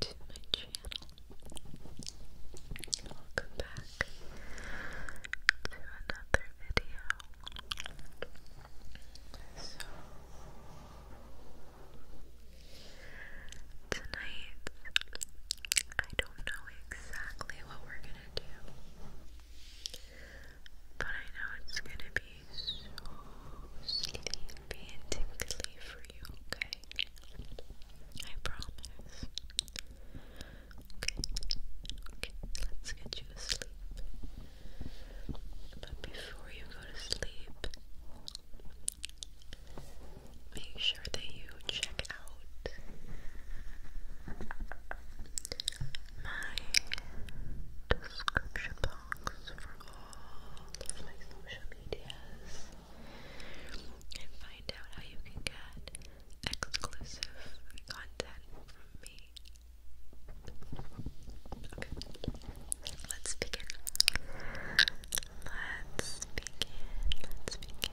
to my channel. Welcome back to another video. tonight, I don't know exactly what we're gonna do, but I know it's gonna be so sleepy and tingly for you, okay? I promise. Okay, okay, let's get you asleep. But before you go to sleep, make sure that you check out my description box for all of my social medias and find out how you can get exclusive content from me. let's begin. Let's begin. Let's begin.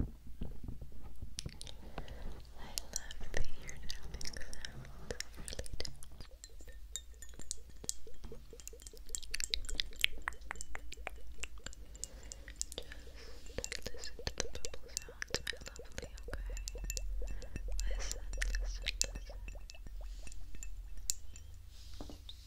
I love the ear tapping sounds really do. Just listen to the bubble sounds, my lovely, okay? Listen, listen, listen.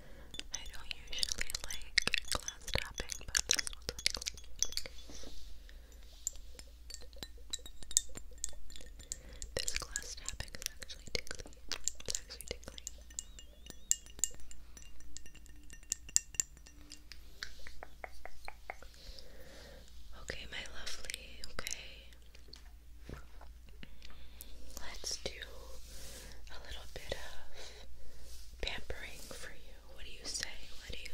I don't usually like glass tapping, but this one's like glass tapping is actually tickly. Okay, my lovely, okay. Let's do a little bit of pampering for you. What do you say? What do you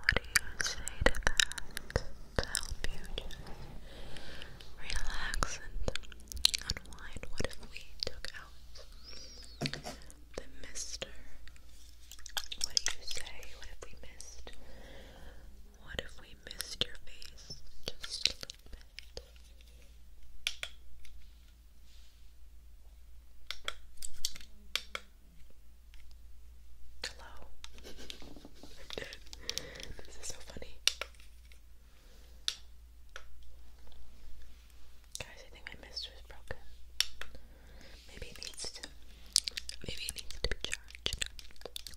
what do you say to that? To help you relax and unwind. What if we took out the mister? What do you say? What if we missed? What if we missed your face just a little bit? Hello. i This is so funny. Guys, I think my mister is broken. Maybe it needs to maybe it needs to be charged.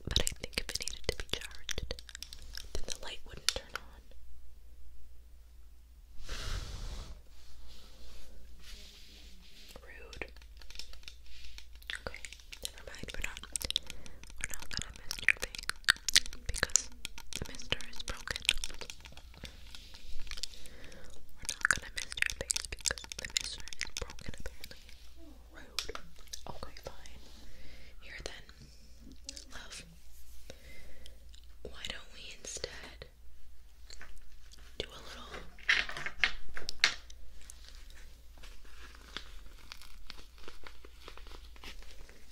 But I think if it needed to be charged, then the light wouldn't turn on. Rude. Okay, never mind. We're not. We're not gonna Mister thing because the Mister is broken. We're not gonna Mister things because the Mister is broken apparently. Rude. Okay, fine. Here then Love, why don't we instead do a little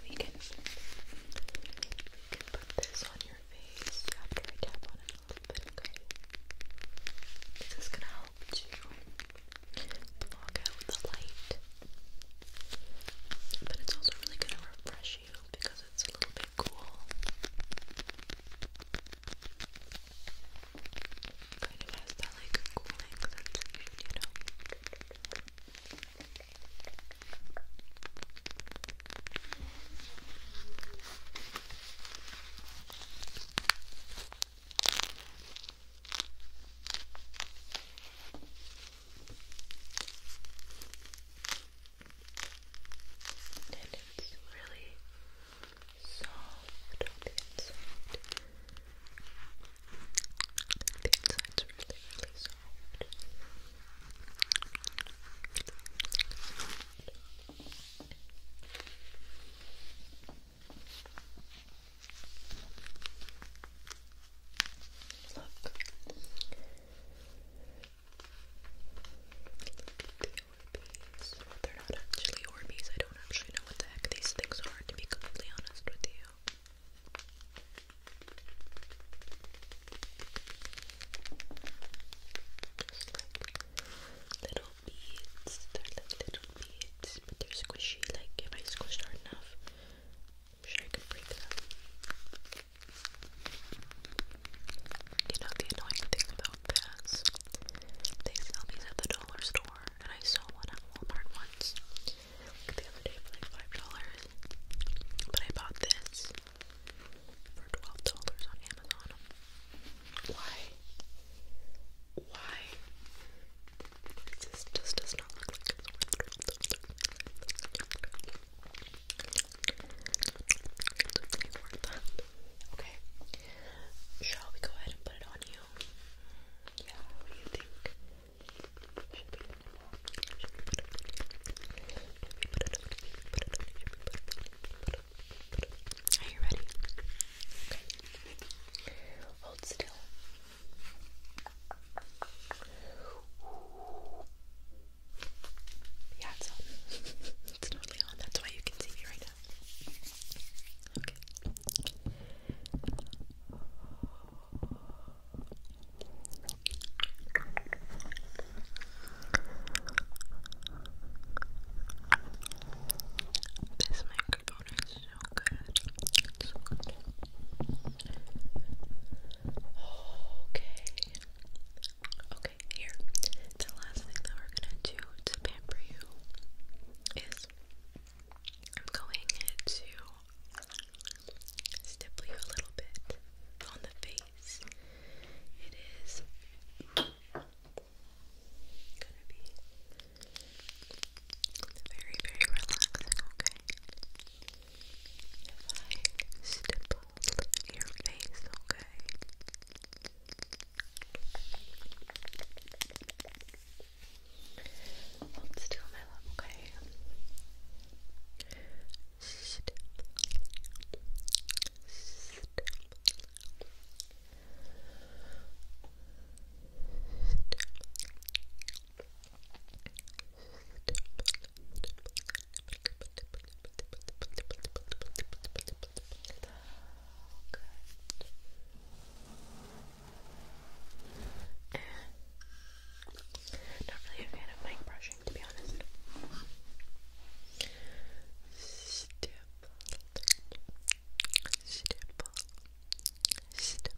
we can, put this on your face after I tap on a little bit, okay? This is gonna help to block out the light, but it's also really gonna refresh you because it's a little bit cool. Kind of has that like cooling sensation, you know. Okay, and it's really soft on the inside. The inside's really, really soft. Look, the Orbeez. Well, they're not actually Orbeez. I don't actually know what the heck these things are, to be completely honest with you. little beads. They're little beads, but they're squishy. Like, if I squish hard enough, i sure I can break that. You know the annoying thing about this? They sell these at the dollar store, and I saw one at Walmart once. the other day for like five dollars. But I bought this for twelve dollars on Amazon. Why? Why? This just does not look okay, Shall we go ahead and put it on you? Yeah, Are you ready? Okay. Hold still. Yeah, it's on. It's totally on. That's why you can see me right now. This microphone is so good. so good. Okay. Okay, here. The last thing that we're gonna do to pamper you is I'm going to stipple you a little bit on the face. It is gonna be very, very relaxing, okay? I stipple your face, okay? Hold still, my love, okay? Not really a fan of mic brushing, to be honest. Stipple, stipple, stipple,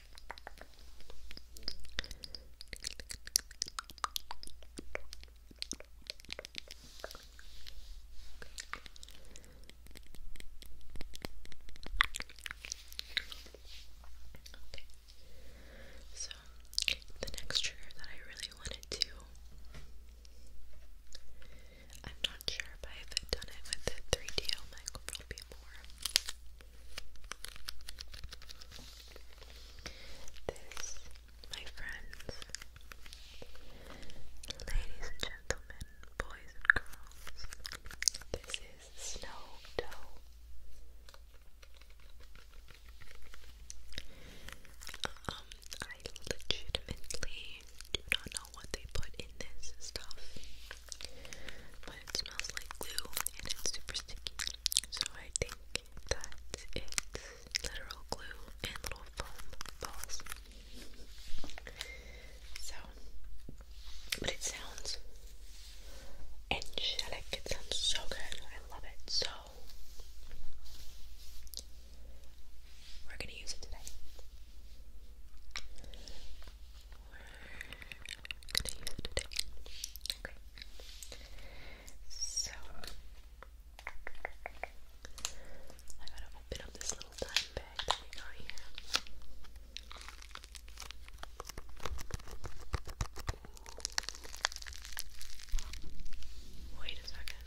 So, the next trigger that I really wanted to. I'm not sure if I've done it with the 3DO microphone before. This, my friends, ladies and gentlemen, boys and girls, this is Snow Dough. Um, I legitimately do not know what they put in this stuff. But it smells like glue and it's super sticky. So I think that it's literal glue and little foam balls. So, but it sounds angelic. It sounds so good. I love it. So, we're gonna use it today gonna So I gotta open up this little dime bag that we got here. Wait a second.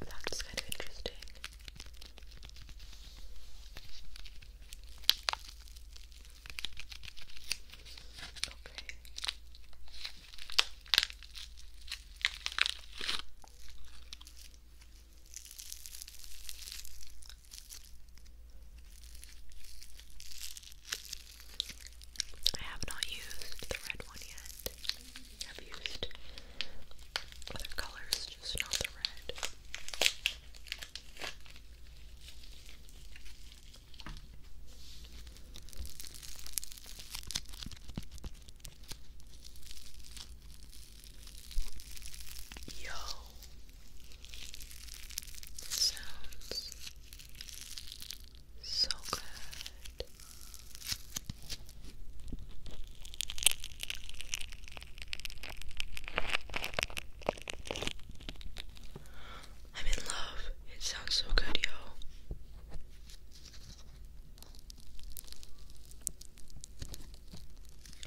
That's kind of interesting. Okay. I have not used the red one yet. I've used other colors, just not the red. Yo, it sounds so good. I'm in love. It sounds so good, yo.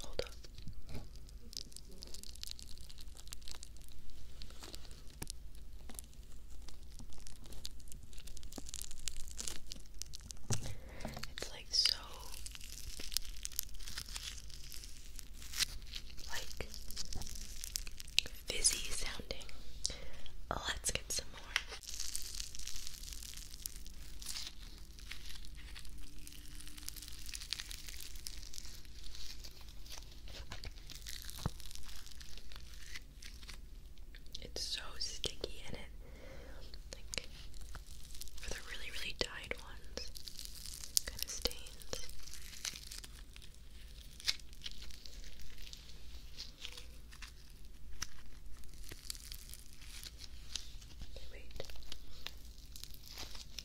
Hold up. It's like so like fizzy sounding. Oh, let's get some more. It's so sticky and it like for the really really dyed ones kind of stains. Okay, wait.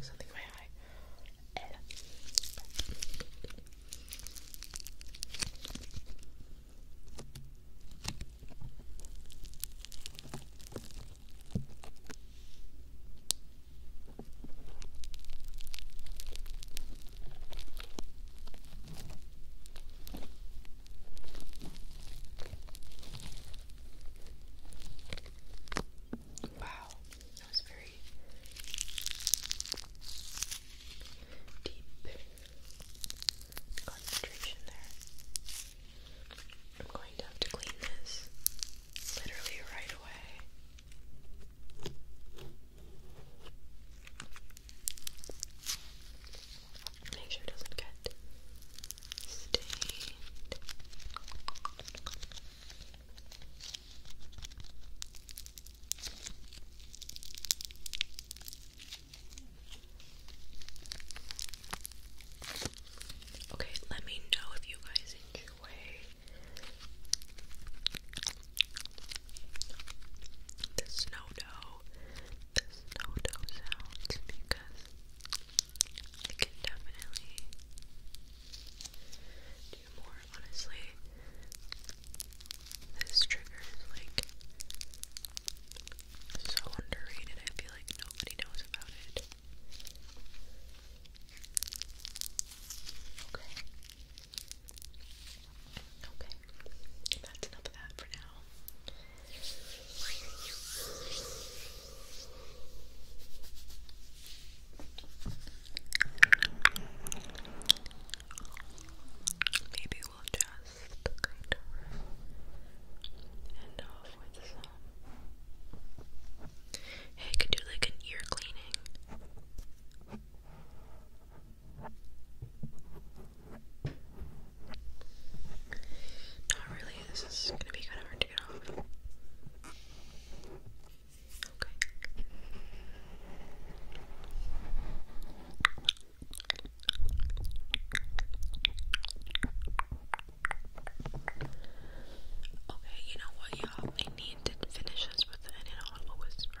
something in my eye. L. Wow, that was very deep concentration there. I'm going to clean this literally right away. Make sure it doesn't get stained. Okay, let me know if you guys enjoy the snow dough, the snow dough sounds because I can definitely do more, honestly. This trigger is like so underrated, I feel like nobody knows about it. Okay. Okay. That's enough of that for now. Maybe we'll just end off with some. Hey, I do like an ear cleaning. Not really, this is gonna be kind of hard to Okay. you know what, y'all? I need to finish this with an inaudible whisper.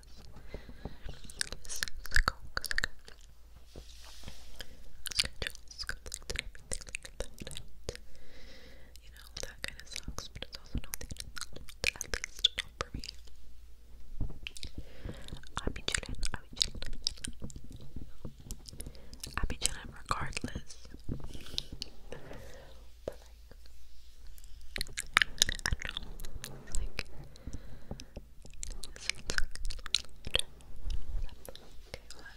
You know, that kind of sucks, but it's also not at least not for me. I'll be chilling, I'll be chilling, I'll be chilling. regardless but like, I don't know, it's like, it's like, okay, well, I've been filming this the whole entire time, so that's that's why,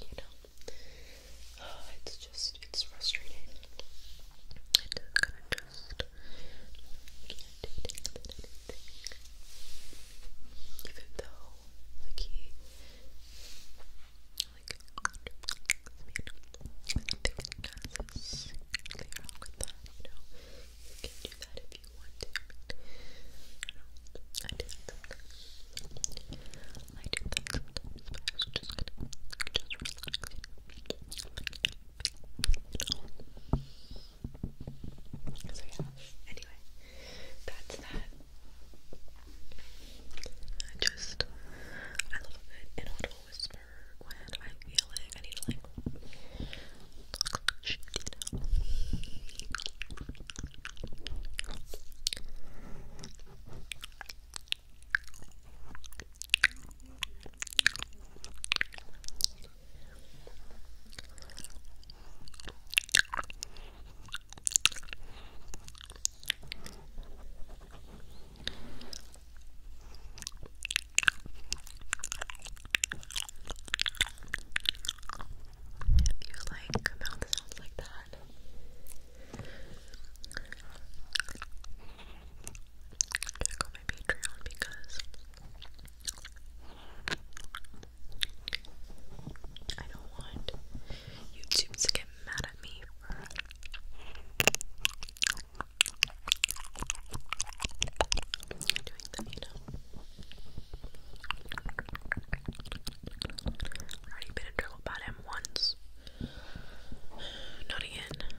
you know, Oh, it's just, it's frustrating. It kind of just can Even though, like, he, like, I mean, they are all with that, you can do that if you want to. I don't I do that sometimes. I was just going just relax, you so yeah, anyway, that's that. I just, I love it in a whisper when I feel like I need like, you if you like mouth sounds like that. Check out my Patreon because I don't want YouTube to get mad at me for doing them, you know. Already been in trouble about him once. Not again.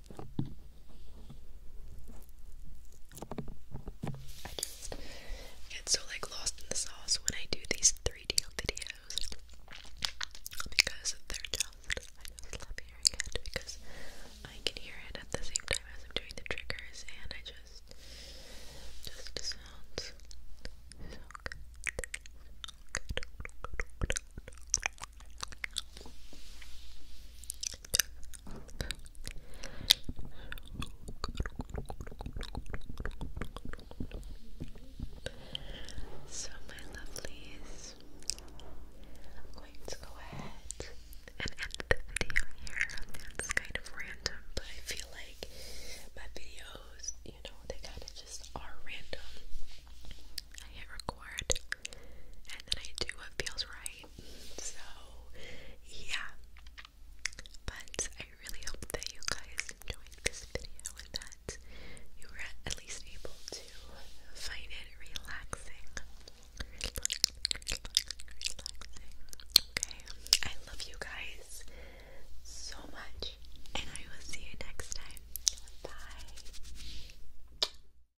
I just get so like lost in the sauce when I do these 3D videos because they're just I just love hearing it because I can hear it at the same time as I'm doing the triggers and I just just sounds so, my lovelies, I'm going to go ahead and end the video here. It's kind of random, but I feel like my videos, you know, they kind of just are random. I hit record and then I do what feels right. So, yeah. But I really hope that you guys enjoyed this video and that you were at least able to find it relaxing. Okay. I love you guys so much, and I will see you next time. Bye.